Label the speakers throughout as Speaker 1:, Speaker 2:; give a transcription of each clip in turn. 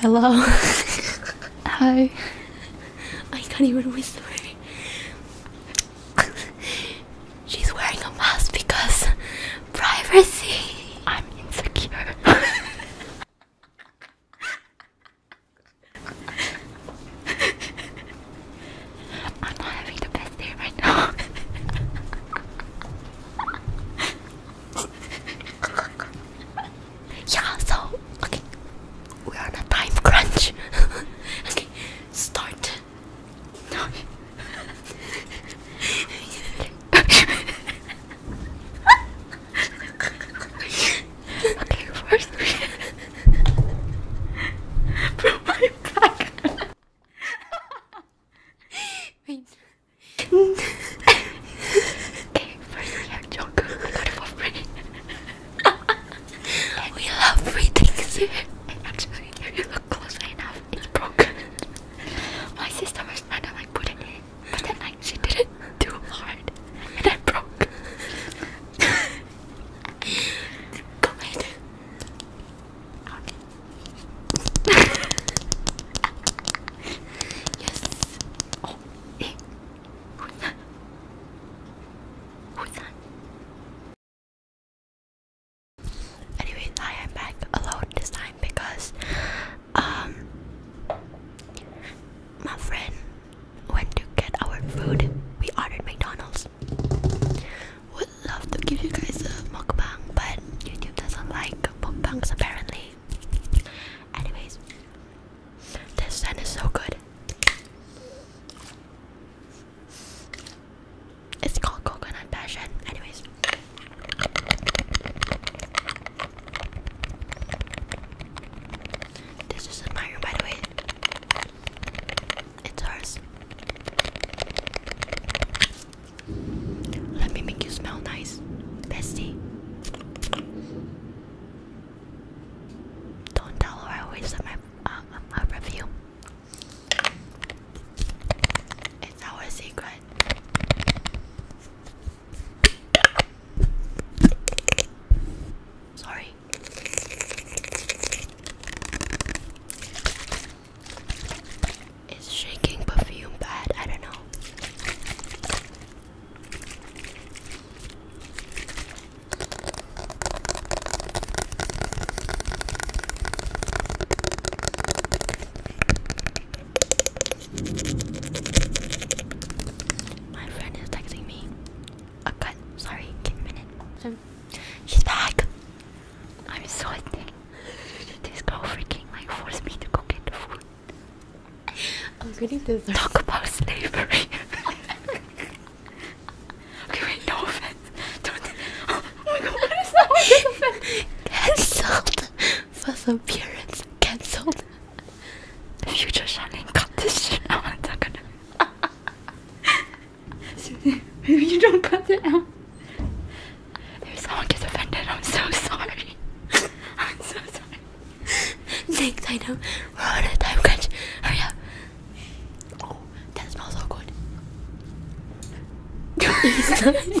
Speaker 1: Hello. Hi. I can't even whisper. She's wearing a mask because privacy. I'm insecure. I'm not having the best day right now. yeah, so okay. We're on a time crunch. okay, start. No. okay, first. From my back. Wait. hey, first react We love free things Actually, if you look closely enough, it's broken. My sister was trying to like put it in, but like she did it too hard, and it broke. but later, yes. Oh, Who's that? Who's that? Anyways, I am back alone this time because um my friend went to get our food. We ordered McDonald's. We love to give you guys a mukbang, but YouTube doesn't like mukbangs apparently. Anyways, this scent is so good. It's called coconut passion. Anyways. This is my room by the way. It's ours. Let me make you smell nice, bestie. Don't tell her I always my uh, review. It's our secret. Sorry. Is shaking perfume bad? I don't know. My friend is texting me. A cut. Sorry, give me a minute. She's back. I'm sweating. This girl freaking like forced me to go get the food. I'm getting dessert. Talk about slavery. okay, wait, no offense. Don't. Oh, my god, what is that? Cancelled. First appearance cancelled. The future Shannon cut this shit out. Susan, maybe you don't cut it out. If someone gets offended, I'm so sorry. I'm so sorry. Thanks, I know. We're on a time crunch. Hurry up. Oh, that smells so good. it's nice.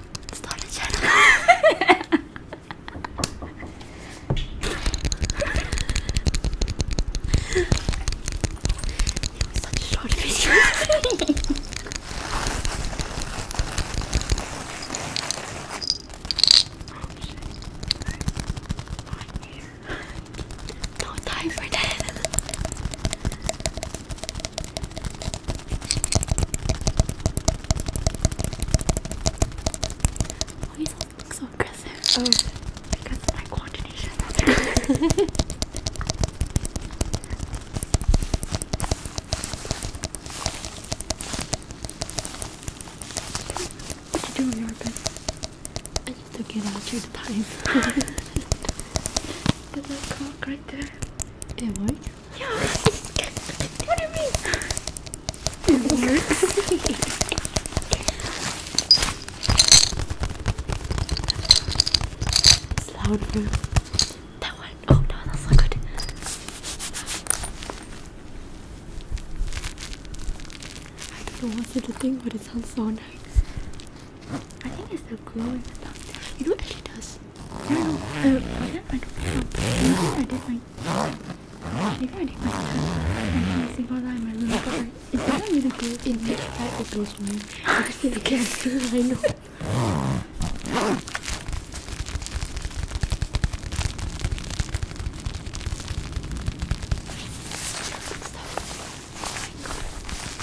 Speaker 1: Start a channel. it such a short video. no time for that. Why oh, does that look so aggressive? Oh, because my coordination. what you doing, on I need to get out you the time. a that right there? It what? Yeah. what do you mean? It works. it's That one. Oh no, that's not good. I don't want you to think, but it sounds so nice. I think it's the glue You know, actually does. I do I don't uh, I did my. I did my turn every single time I remember. Like, it doesn't really go in which type it goes I just get through, I know. Oh my god.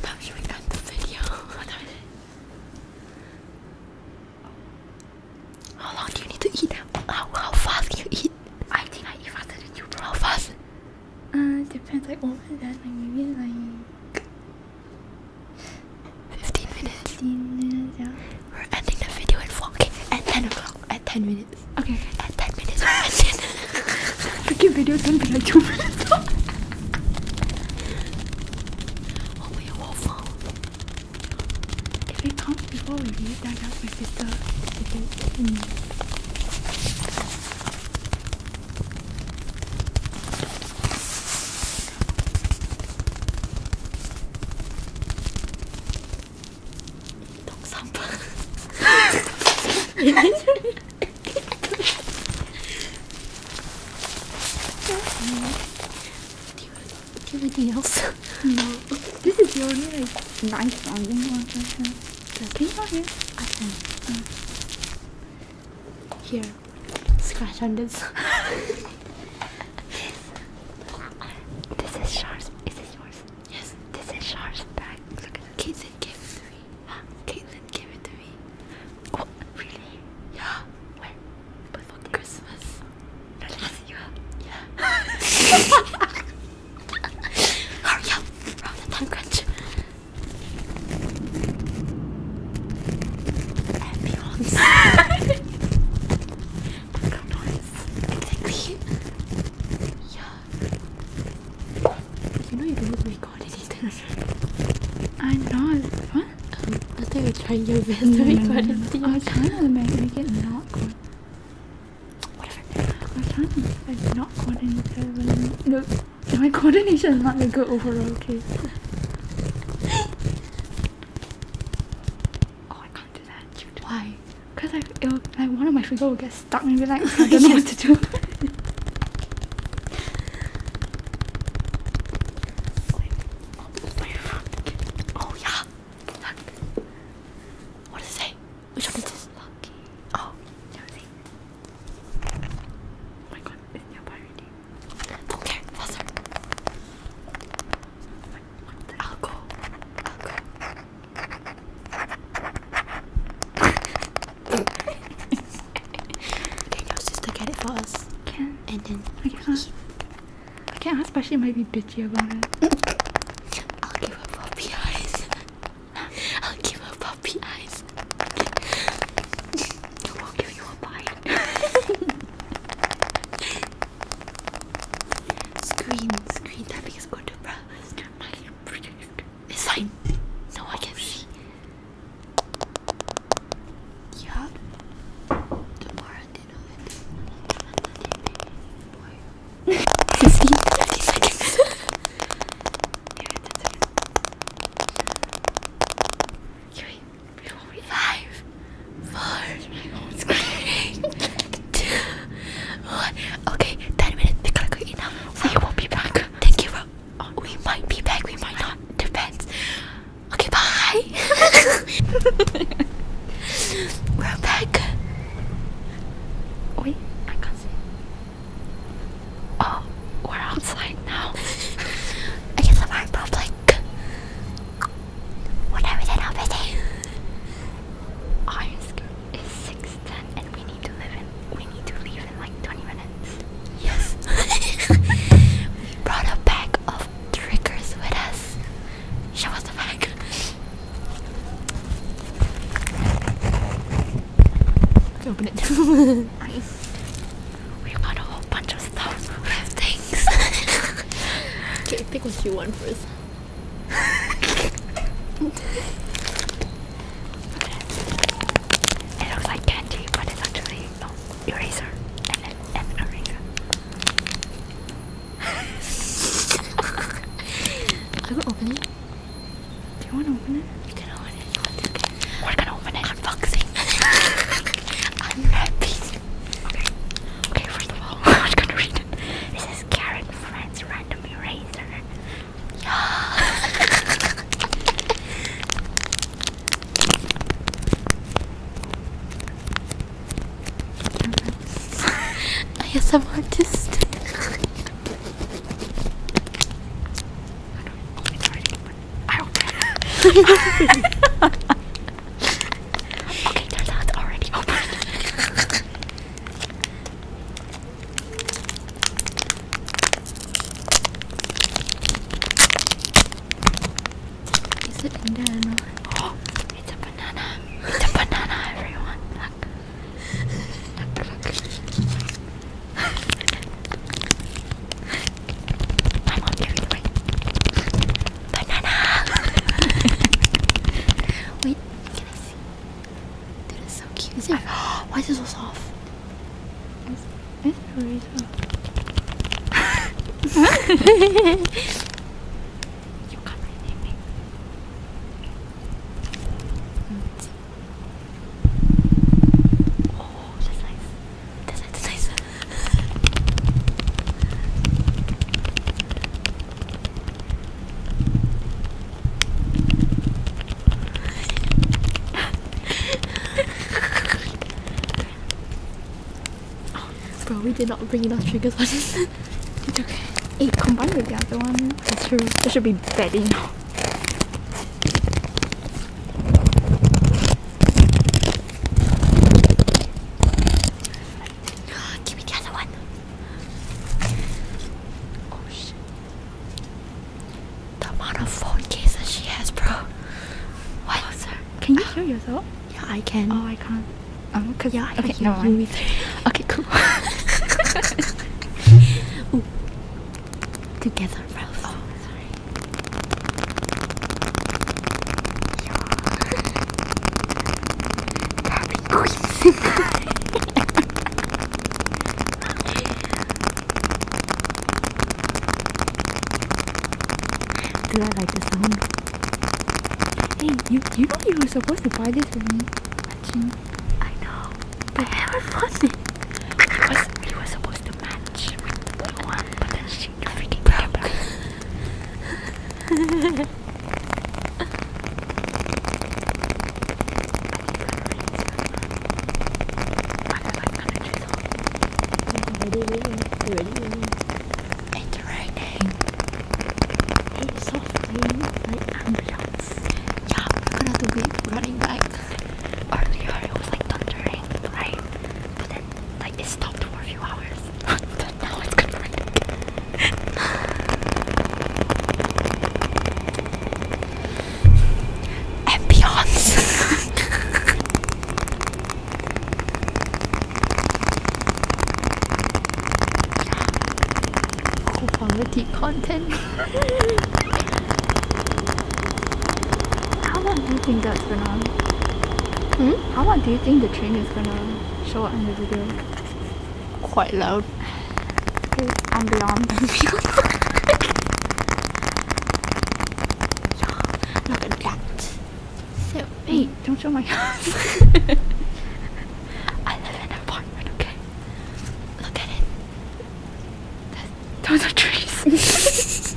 Speaker 1: Tam yo me encanta, en How long do you need to eat? How, fast can you eat? I think I eat faster than you, How fast? Uh, depends. Like over that, like maybe like 15 minutes. 15 minutes, yeah. We're ending the video and vlogging at 10 o'clock. At 10 minutes. Okay. At 10 minutes. Freaking video is gonna be like 2 minutes long. oh, wait, phone? If it comes before we leave, then I ask my it. Mm do, you, do you have anything else? No. This is the nice sounding one I have. I can. here scratch on this. this is Shar's. Is this yours? Yes. This is Shar's bag. Look at this. Caitlin gave it to me. Huh? Caitlin gave it to me. Oh, really? Yeah. Where? Before Christmas. No, last year. Yeah. Hurry up! We're on the time crunch. Ambience. How nice. Exactly. Yeah. You know you don't record anything. I know. What? I think we're trying your best no, to record no, no, anything. I was trying to make, make it not good. I was trying to make it not Nope. My coordination is not that good overall, okay? oh, I can't do that. Why? Because like, it one of my fingers will get stuck and be like, I don't know what to do. oh, yeah. What does it say? Which one is this? Lucky. Oh, no, Oh my god, in your party. Okay, faster. Like, what the I'll go. I'll go. Can your sister get it for us? Can. And then I can ask. I can ask, but she might be bitchy about it. I'll give her puppy eyes. I'll give her puppy puppy eyes. I will give you a bite. screen, screen. That thing is going to burn. It's fine. No one can see. Yeah. Tomorrow dinner with. Boy. 15, yeah, that's it. Three, four, five, four, two, one. Okay, ten minutes. We gotta go eat now. We won't be back. Thank you. For, we might be back. We might not. Depends. Okay, bye. We're back. Wait, I can't see. Oh, we're outside now. I guess I'm in public. Whatever that happened. Iron skin is 610 and we need to live in we need to leave in like 20 minutes. Yes. we brought a pack of triggers with us. Show us the pack. open it. We got a whole bunch of stuff. We have things. okay, pick what you want first. okay. It looks like candy, but it's actually no eraser and an, eraser. I will open it. Do you want to open it? You can open it. No, okay. We're gonna open it. Unboxing. I'm happy. Okay. Okay, first of all, I'm gonna read it. This is Karen Friends Random Eraser. Yeah. I guess I'm artist okay, turns out it's already open. Oh, it's a banana. It's a banana, everyone. Look. Look, look. I'm gave it away. Banana! Wait, can I see? That is so cute. Is it, why is it so soft? It's, it's really You can't really me. Oh, that's nice. That's nice, that's nice. oh, bro, we did not bring enough triggers on this. it's okay. It combined with the other one. That's true. There should be bedding. Give me the other one. Oh shit. The amount of phone cases she has, bro. What? Oh, sir. Can you uh, hear yourself? Yeah, I can. Oh, I can't. Um, yeah, I okay, no, hear okay, cool. Together, Rose. Oh, sorry. Do I like the song? Hey, you you know you were supposed to buy this for me. I know. They haven't lost it. He was, he was supposed to match with the blue one, but then she freaking broke. It's raining. It's softly like ambulance. Yeah, we're gonna do it running back earlier it was like thundering, right? But then like it stopped for a few hours. but now it's good for Ambiance Quality content how long do you think that's gonna? Hmm? How long do you think the train is gonna show up in the video? Quite loud. It's ambiance. look at that. So, hey, hmm. don't show my house. I live in an apartment, okay? Look at it. Those are trees. next,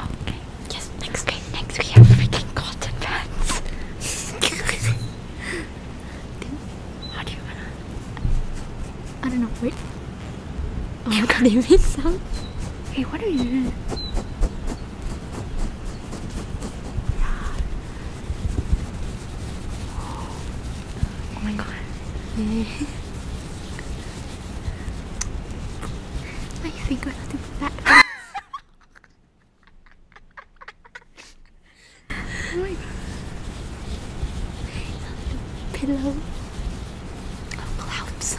Speaker 1: okay, yes, next, okay, next we have freaking cotton pants. How do you wanna? I don't know, wait. Oh, I can't Hey, what are you Oh my god. my finger not to that. oh my god. Pillow. Oh, clouds.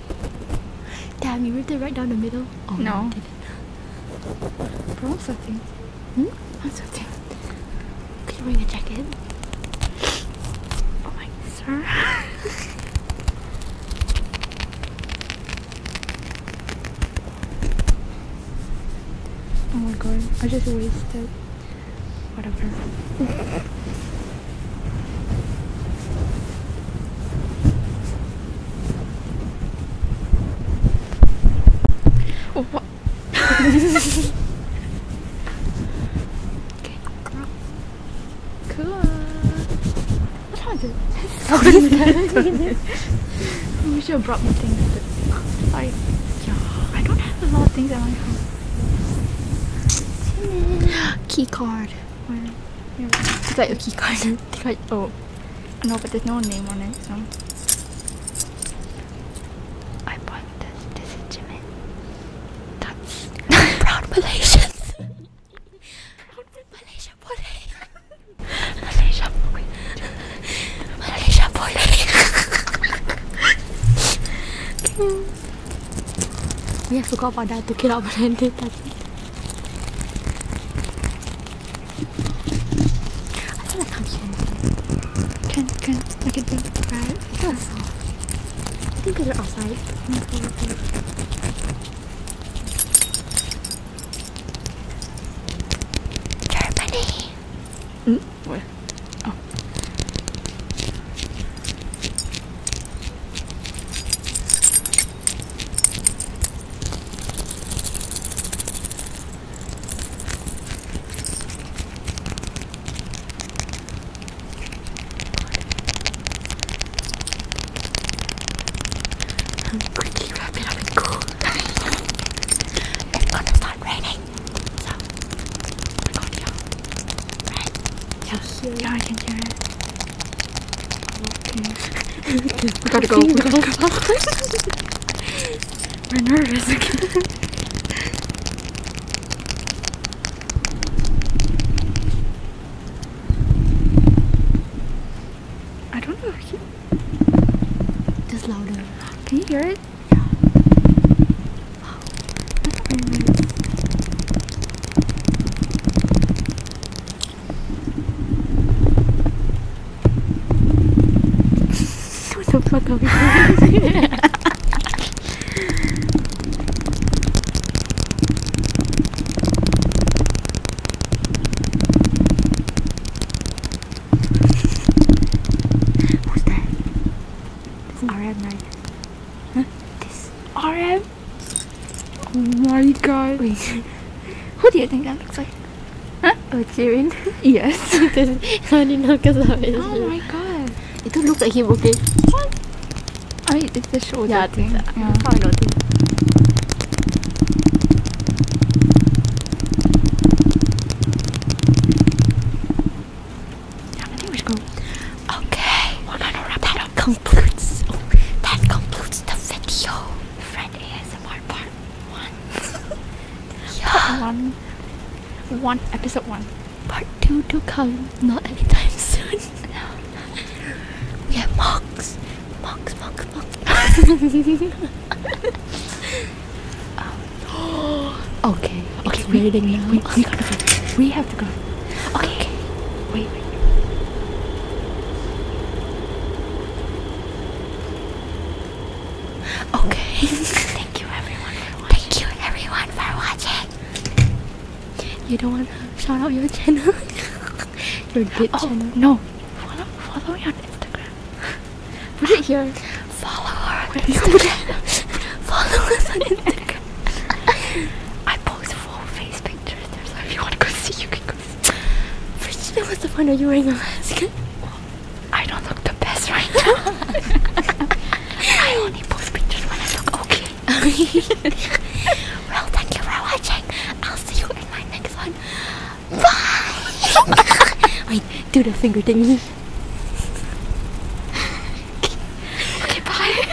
Speaker 1: Damn, you ripped it right down the middle. Oh no. Bro, something. Hmm? i something. sweating. Could you bring a jacket? Oh my, sir. oh my god, I just wasted. Whatever. What? okay, Cool. What happened? what is that? I brought me things, but sorry. I don't have a lot of things at my house. Key card like a key oh. No, but there's no name on it, so. I bought this. This is Jimin. That's proud Malaysians. proud Malaysia boleh. Malaysia boleh. Malaysia boleh. yeah, I forgot about that. Took it out, but I I like how she can can I can think about it. I think I saw. I think I outside. Germany. Mm. Where? Oh. Quickly wrap it up and cool. it's gonna start raining. So, I got you. I can hear it. We gotta go. We gotta go. We're nervous again. I don't know if you... Just louder. Can you hear it? Oh, what the fuck are we doing Who's that? This RM9. This RM? Oh my god. Who do you think that looks like? Huh? Oh, Jimin? Yes. I didn't know because of it. Oh my god. It does not look like him, okay? What? I mean, it's a show. yeah, thing. Uh, yeah, I probably noticed that concludes the video. Fred ASMR part one. yeah. Part one. One episode one. Part two to come. Not anytime soon. We have mugs. Mugs, mugs, mugs. okay. Okay, we, now. We, we, we have to go. Okay, Wait, wait. Okay. Thank you everyone Thank you everyone for watching. You don't wanna shout out your channel? oh, No. Follow me on Instagram. Put it here. Follow her on Instagram. follow us on Instagram. I post full face pictures. So if you want to go see, you can go see. First, I must have found out you wearing a mask. I don't look the best right now. I only post pictures when I look okay. well, thank you for watching. I'll see you in my next one. Bye! Wait, do the finger thingy. okay, okay bye.